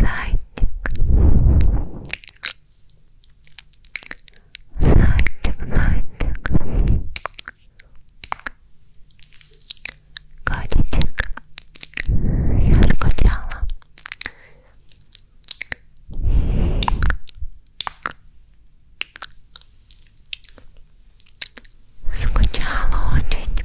зайчик, зайчик, зайчик, котичек, я скучала. Скучала очень.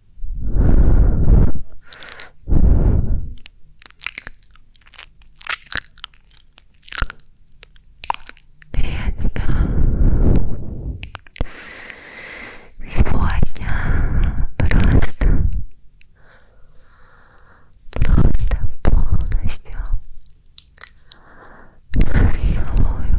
Я тебя сегодня просто, просто полностью расцелую.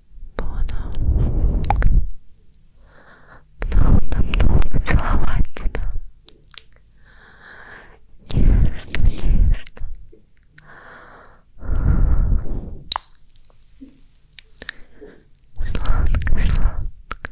буду долго-долго целовать тебя. Нежно, нежно. Сладко, сладко. Так.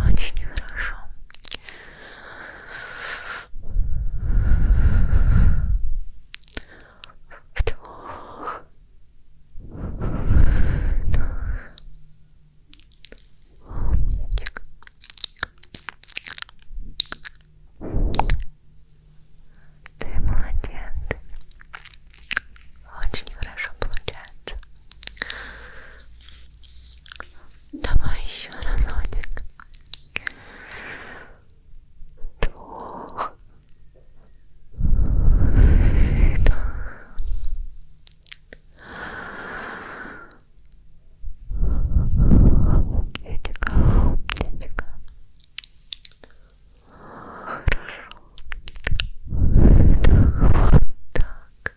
Очень нехорошо. Вдох. Вдох. Умничек. Ты молодец. Очень хорошо получается. Давай еще разочек. Двух. Выдох. Умничка, умничка. Хорошо. Выдох. Вот так.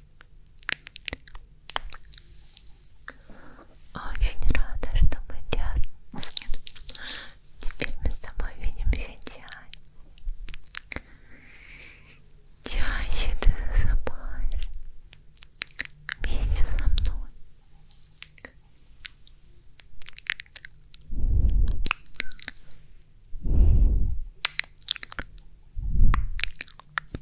Очень рада, что мы теперь мы с тобой видимся чаще. Чаще ты засыпаешь вместе со мной.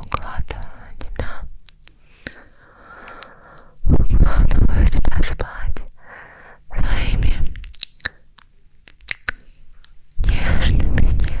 Укладываю тебя, укладываю тебя спать своими нежными, нежными,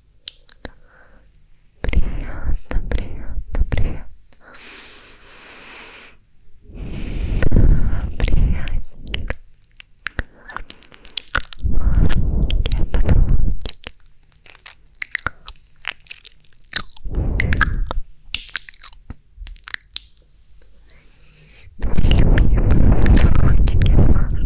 Приятно, приятно, приятно. Приятненько. Маленькие подолончики. Твои любимые подолончики, мам.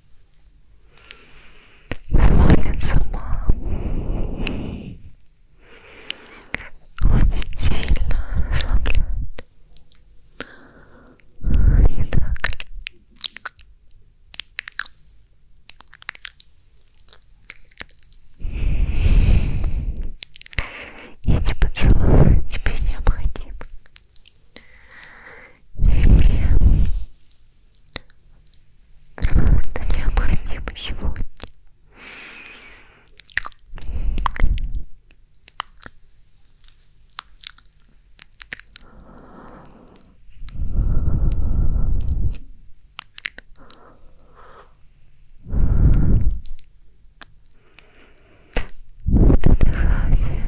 сводит с ума очень сильно расслабляет не так ли? Эти поцелуи тебе необходимы. И мне Просто необходимо сегодня. Отдыхайте,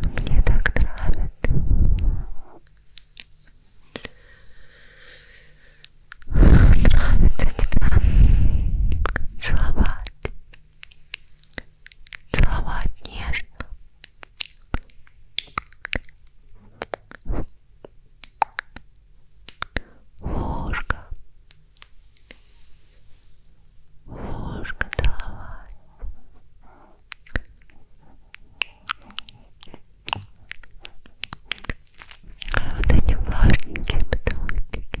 Мне так нравится. Нравится тебя целовать. Целовать нежно. Ложка. Можешь целовать. А вот эти влажненькие поцелуйчики.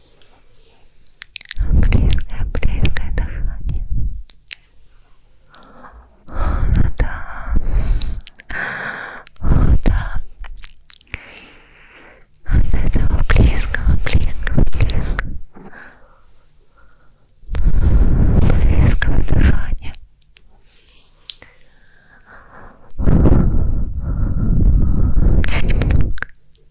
Близкое, близкое дыхание. О, да. О, да. От этого близкого, близкого, близкого. Близкого дыхания. Я немного Мурашек,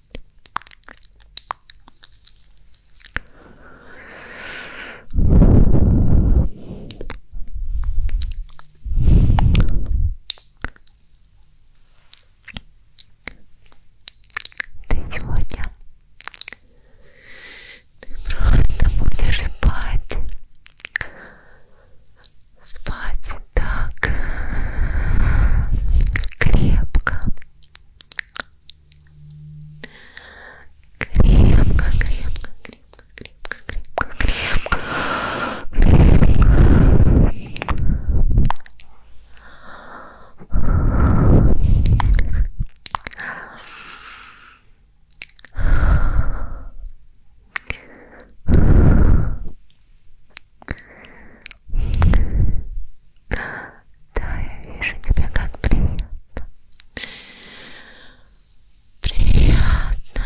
Ты сегодня ты просто будешь спать Спать так крепко, крепко, крепко, крепко, крепко, крепко, крепко, крепко. Да, я вижу тебя как приятно. Приятно.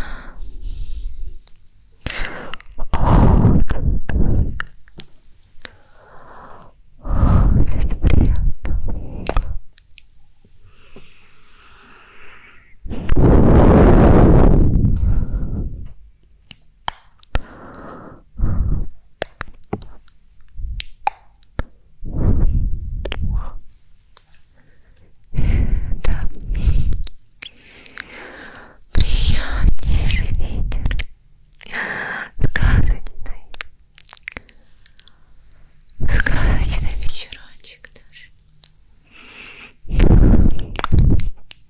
О, как, О, как приятно. Да. Приятнейший ветер. Сказочный. Сказочный вечерочек даже.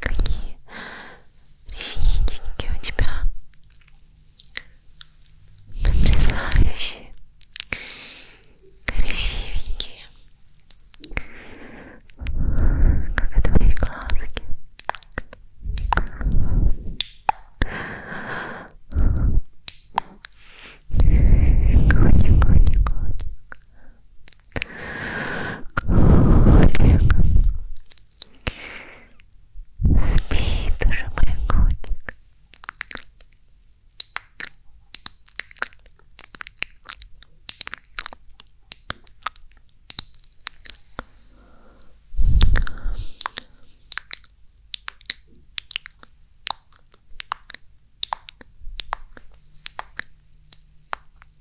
Какие реснички у тебя потрясающие, красивенькие, как и твои глазки. Котик, котик, котик. Котик. Спит уже мой котик. Спит,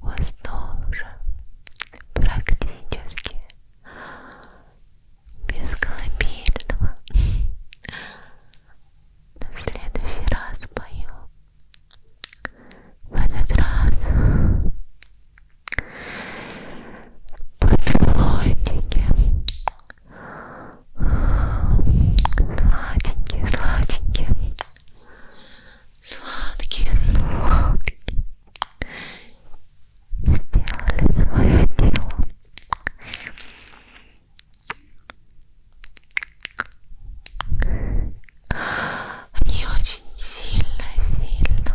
Уснул уже практически без колыбельного. Но в следующий раз пою. В этот раз Подлодники. Сладенькие, сладенькие. Сладкие сладкие. Сделали свое дело. Они очень сильно, сильно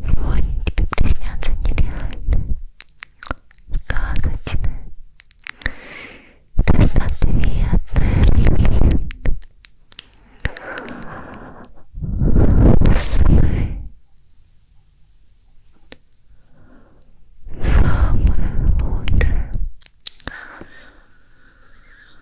Сегодня тебе приснятся нереальные, сказочные, разноцветные сны. Самое лучшее.